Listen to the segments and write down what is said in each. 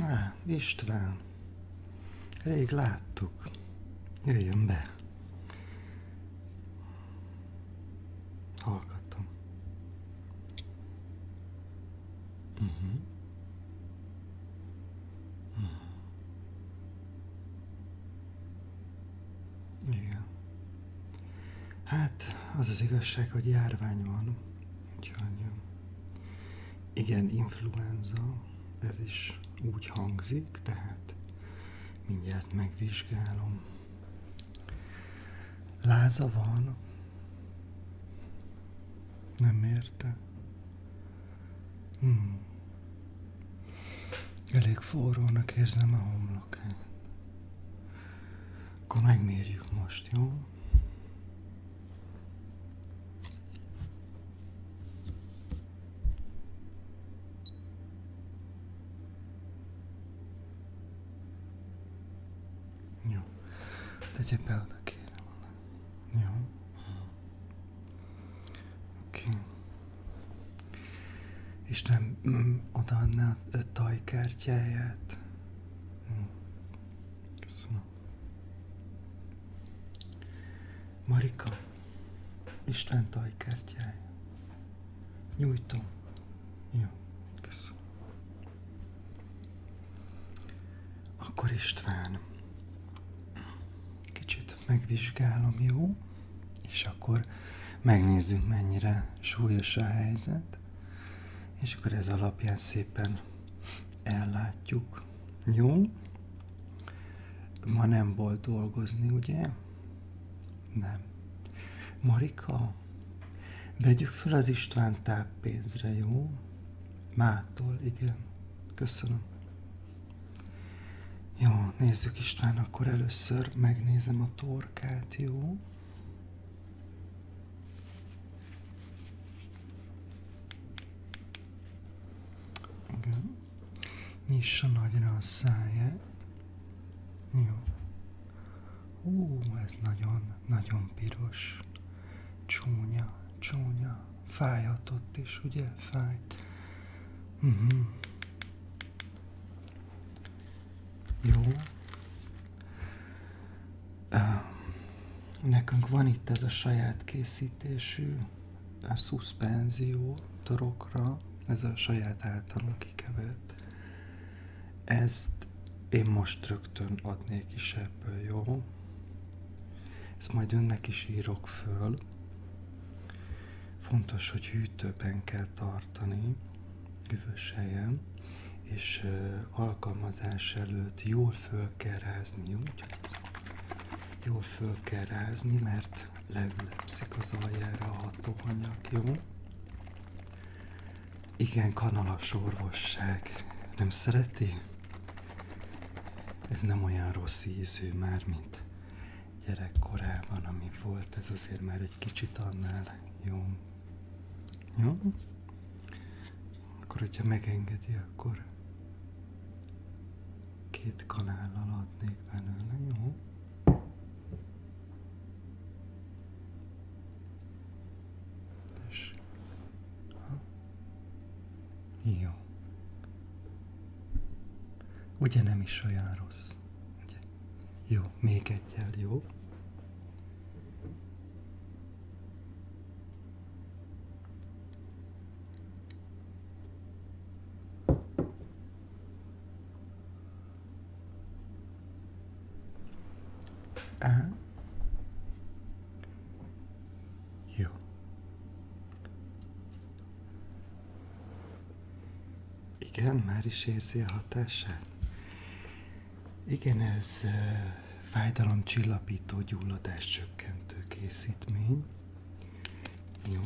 Á, István, rég láttuk. Jöjjön be. Hallgattam. Uh -huh. Uh -huh. Igen. Hát, az az igazság, hogy járvány van, úgyhogy igen, influenza, ez is úgy hangzik, tehát mindjárt megvizsgálom. Láza van. Nem érte. Hmm. Elég forrónak érzem a homlokát. Akkor megmérjük most, jó? Jó. Tegye be oda, kérem. Jó. Oké. Okay. Isten mm, odaadná a tajkártyáját. Mm. Köszönöm. Marika, Isten tajkártyája nyújtom. Jó, köszönöm. Akkor István, kicsit megvizsgálom, jó? És akkor megnézzük, mennyire súlyos a helyzet. És akkor ez alapján szépen ellátjuk. Jó? Ma nem volt dolgozni, ugye? Nem. Marika, vegyük fel az István táppénzre, jó? Mától, igen. Köszönöm. Jó, nézzük István, akkor először megnézem a torkát, jó? Igen. Nyissa nagyra a száját. Jó. Ú, ez nagyon-nagyon piros. Csúnya, csúnya. Fájhatott is, ugye? Fájt. Uh mhm. -huh. Jó. nekünk van itt ez a saját készítésű a szuszpenzió torokra, ez a saját általunk kikevert. Ezt én most rögtön adnék is ebből, jó? Ezt majd önnek is írok föl. Fontos, hogy hűtőben kell tartani, üvös helyen, és uh, alkalmazás előtt jól föl kell rázni, jó? Jól föl kell rázni, mert most leülepszik az aljára a hatóanyag, jó? Igen, kanalas orvosság. Nem szereti? Ez nem olyan rossz ízű már, mint gyerekkorában, ami volt. Ez azért már egy kicsit annál jó. Jó? Akkor, hogyha megengedi, akkor két kanállal adnék belőle, jó? Tessék. Ha. Jó. Ugye nem is olyan rossz? Ugye? Jó, még egyel, jó? Ajá. Yo. Igen, már is érzi a hatását? Igen, ez uh, fájdalomcsillapító, gyulladás csökkentő készítmény. Jó.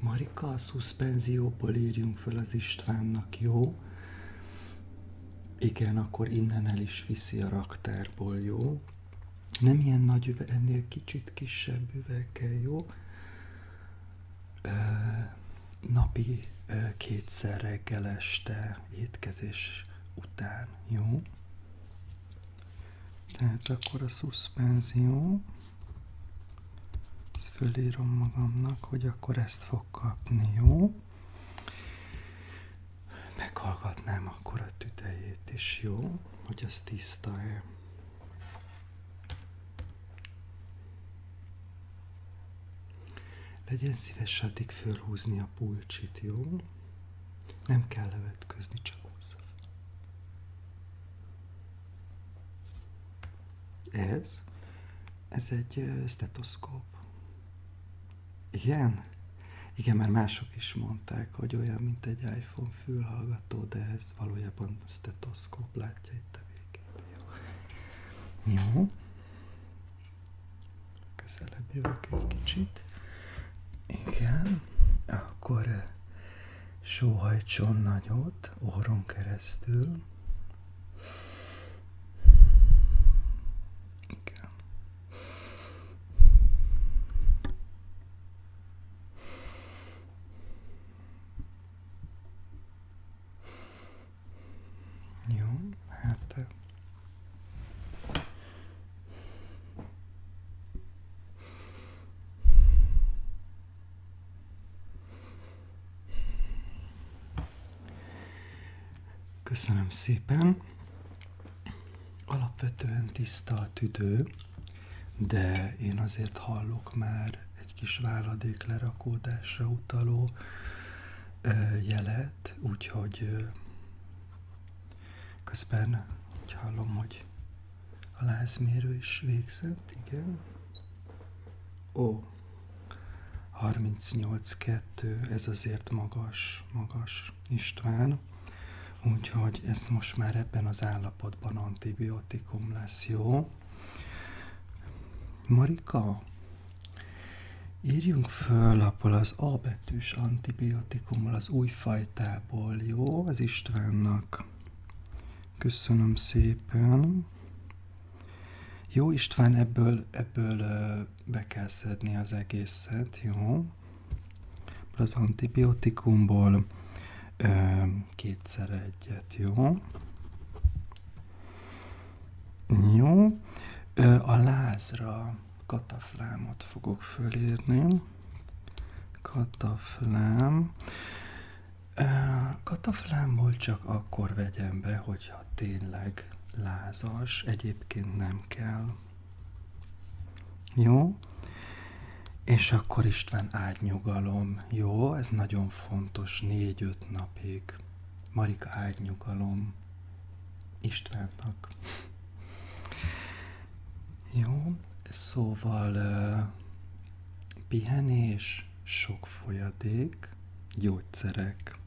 Marika, a szuszpenzióból írjunk föl az Istvánnak, jó? Igen, akkor innen el is viszi a raktárból, jó? Nem ilyen nagy üveg, ennél kicsit kisebb üveg kell jó? napi kétszer reggel este étkezés után, jó? Tehát akkor a szuszpenzió. Ezt fölírom magamnak, hogy akkor ezt fog kapni, jó? Meghallgatnám akkor a tüdejét is, jó? Hogy az tiszta-e. Legyen szíves addig fölhúzni a pulcsit, jó? Nem kell levetkőzni, csak húzza. Ez? Ez egy stetoszkóp. Igen? Igen, már mások is mondták, hogy olyan, mint egy iPhone fülhallgató, de ez valójában stetoszkóp látja itt a végét. Jó. Jó. Közelebb jövök egy kicsit. Igen. Akkor sóhajtson nagyot orron keresztül. Igen. hát Köszönöm szépen. Alapvetően tiszta a tüdő, de én azért hallok már egy kis váladék lerakódásra utaló jelet, úgyhogy közben úgy hallom, hogy a lázmérő is végzett, igen. Ó, 38-2, ez azért magas, magas István. Úgyhogy ez most már ebben az állapotban antibiotikum lesz, jó? Marika, írjunk föl abból az A betűs antibiotikummal, az újfajtából jó? Az Istvánnak. Köszönöm szépen. Jó István, ebből, ebből be kell szedni az egészet, jó? Az antibiotikumból kétszer egyet, jó? Jó. A lázra kataflámot fogok fölírni. Kataflám. Kataflámból csak akkor vegyem be, hogyha tényleg lázas, egyébként nem kell. Jó? És akkor István ágynyugalom. Jó? Ez nagyon fontos. Négy-öt napig. Marika ágynyugalom. Istvánnak. Jó, szóval uh, pihenés, sok folyadék, gyógyszerek.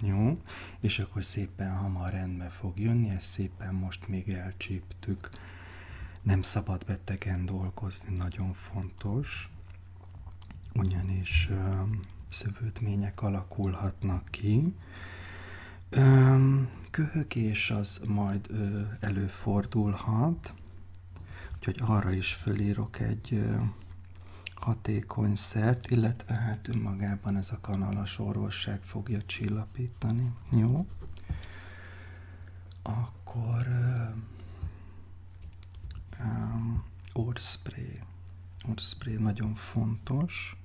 Jó, és akkor szépen hamar rendbe fog jönni, ezt szépen most még elcsíptük. Nem szabad betegen dolgozni, nagyon fontos, ugyanis ö, szövődmények alakulhatnak ki. Ö, köhögés az majd ö, előfordulhat, lett. Úgyhogy arra is fölírok egy hatékony szert, illetve hát önmagában ez a kanalas orvosság fogja csillapítani. Jó? Akkor um, orspray. nagyon fontos.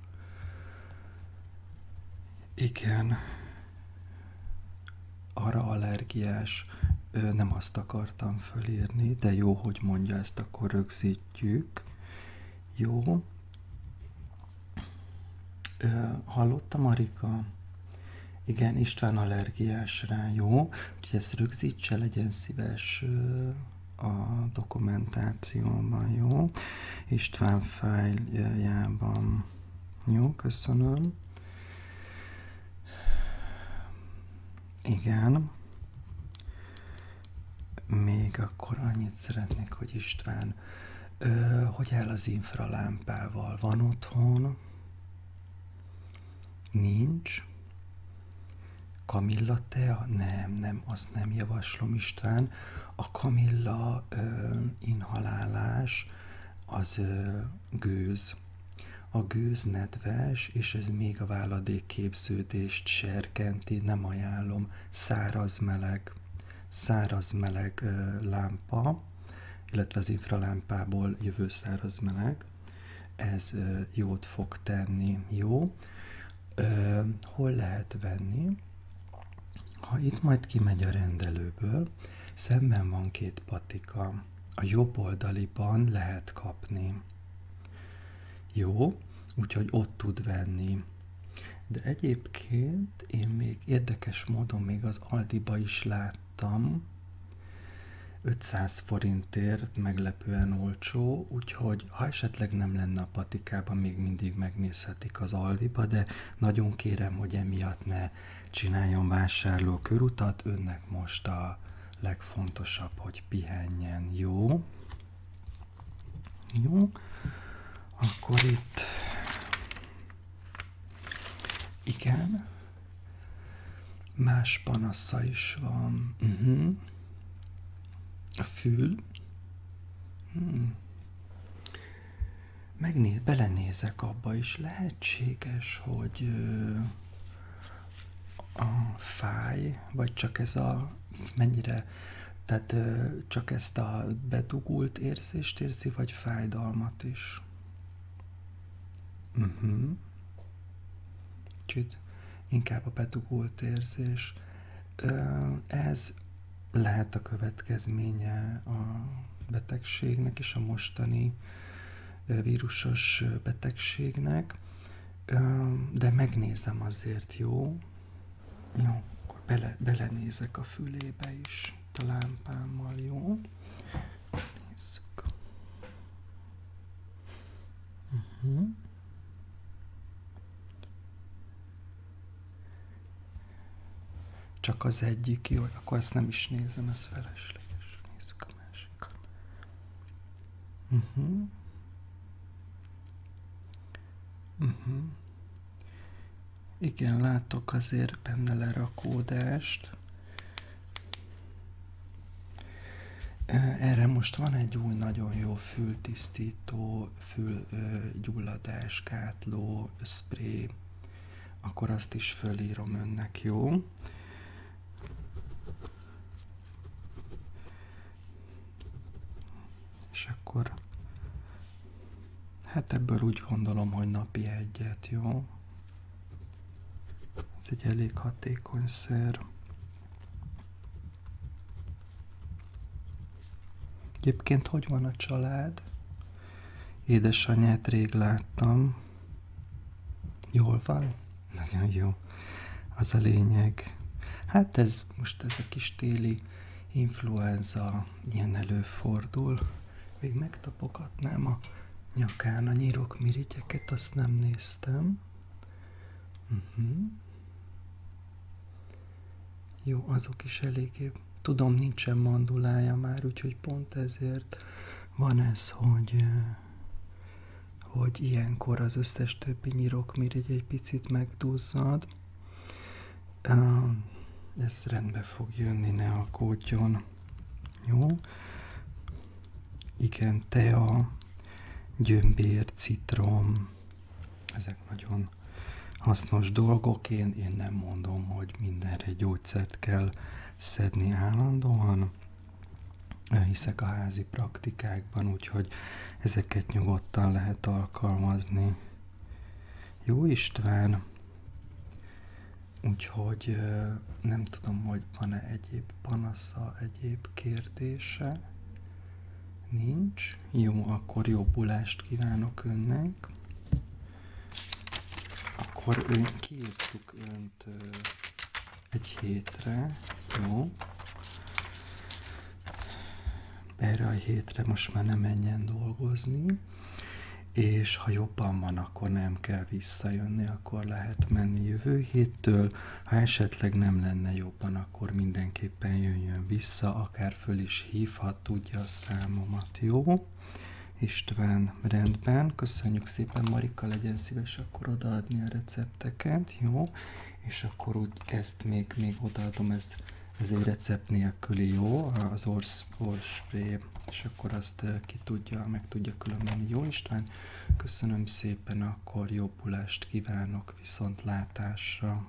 Igen. Arra allergiás. Ö, nem azt akartam fölírni, de jó, hogy mondja ezt, akkor rögzítjük. Jó. Ö, hallotta Marika? Igen, István allergiás rá, jó? Úgyhogy ezt rögzítse, legyen szíves a dokumentációban, jó? István fájljában. Jó, köszönöm. Igen. Még akkor annyit szeretnék, hogy István, ö, hogy el az infralámpával van otthon? Nincs. Kamilla tea? Nem, nem, azt nem javaslom István. A kamilla ö, inhalálás az gőz. A gőz nedves, és ez még a váladékképződést serkenti, nem ajánlom, száraz meleg, száraz meleg lámpa, illetve az infralámpából jövő száraz meleg, ez jót fog tenni, jó. Hol lehet venni? Ha itt majd kimegy a rendelőből, szemben van két patika. A jobb oldaliban lehet kapni. Jó, úgyhogy ott tud venni. De egyébként én még érdekes módon még az Aldiba is láttam, 500 forintért meglepően olcsó, úgyhogy ha esetleg nem lenne a patikában, még mindig megnézhetik az Aldiba, de nagyon kérem, hogy emiatt ne csináljon vásárló körutat, önnek most a legfontosabb, hogy pihenjen, jó? Jó, akkor itt igen, más panasza is van. Uh-huh. A fül. Hmm megnéz, belenézek abba, is lehetséges, hogy a fáj, vagy csak ez a mennyire, tehát csak ezt a bedugult érzést érzi, vagy fájdalmat is. Uh-huh. Kicsit inkább a bedugult érzés. ez lehet a következménye a betegségnek és a mostani vírusos betegségnek, de megnézem azért, jó? Jó, akkor bele, belenézek a fülébe is a lámpámmal, jó? Nézzük. Uh-huh. Csak az egyik jó, akkor ezt nem is nézem, ez felesleges. Nézzük a másikat. Uh-huh. Uh-huh. Igen, látok azért benne lerakódást. Erre most van egy új nagyon jó fültisztító, fülgyulladásgátló spray akkor azt is fölírom önnek, jó? És akkor, hát ebből úgy gondolom, hogy napi egyet, jó? Ez egy elég hatékony szer. Egyébként hogy van a család? Édesanyját rég láttam. Jól van? Nagyon jó. Az a lényeg. Hát ez most ez a kis téli influenza ilyen előfordul. Még megtapogatnám a nyakán a nyírok mirigyeket, azt nem néztem. Uh-huh. Jó, azok is eléggé Tudom, nincsen mandulája már, úgyhogy pont ezért van ez, hogy, hogy ilyenkor az összes többi nyirok nyirokmirigy egy picit megduzzad. Ez rendbe fog jönni, ne a aggódjon. Jó? Igen, tea, gyömbér, citrom, ezek nagyon hasznos dolgok. Én, én nem mondom, hogy mindenre gyógyszert kell szedni állandóan. Hiszek a házi praktikákban, úgyhogy ezeket nyugodtan lehet alkalmazni. Jó István! Úgyhogy nem tudom, hogy van-e egyéb panasza, egyéb kérdése. Nincs? Jó, akkor jobbulást kívánok önnek. Akkor ön, kiírtuk önt ö, egy hétre, jó? Erre a hétre most már nem menjen dolgozni, és ha jobban van, akkor nem kell visszajönni, akkor lehet menni jövő héttől, ha esetleg nem lenne jobban, akkor mindenképpen jönjön vissza, akár föl is hívhat, tudja a számomat, jó? jó. István, rendben, köszönjük szépen, Marika, legyen szíves akkor odaadni a recepteket, jó? És akkor úgy ezt még, még odaadom, ez, ez egy recept nélküli, jó? Az orsz, orspray, és akkor azt eh, ki tudja, meg tudja különbeni, jó István? Köszönöm szépen, akkor jobbulást kívánok viszontlátásra!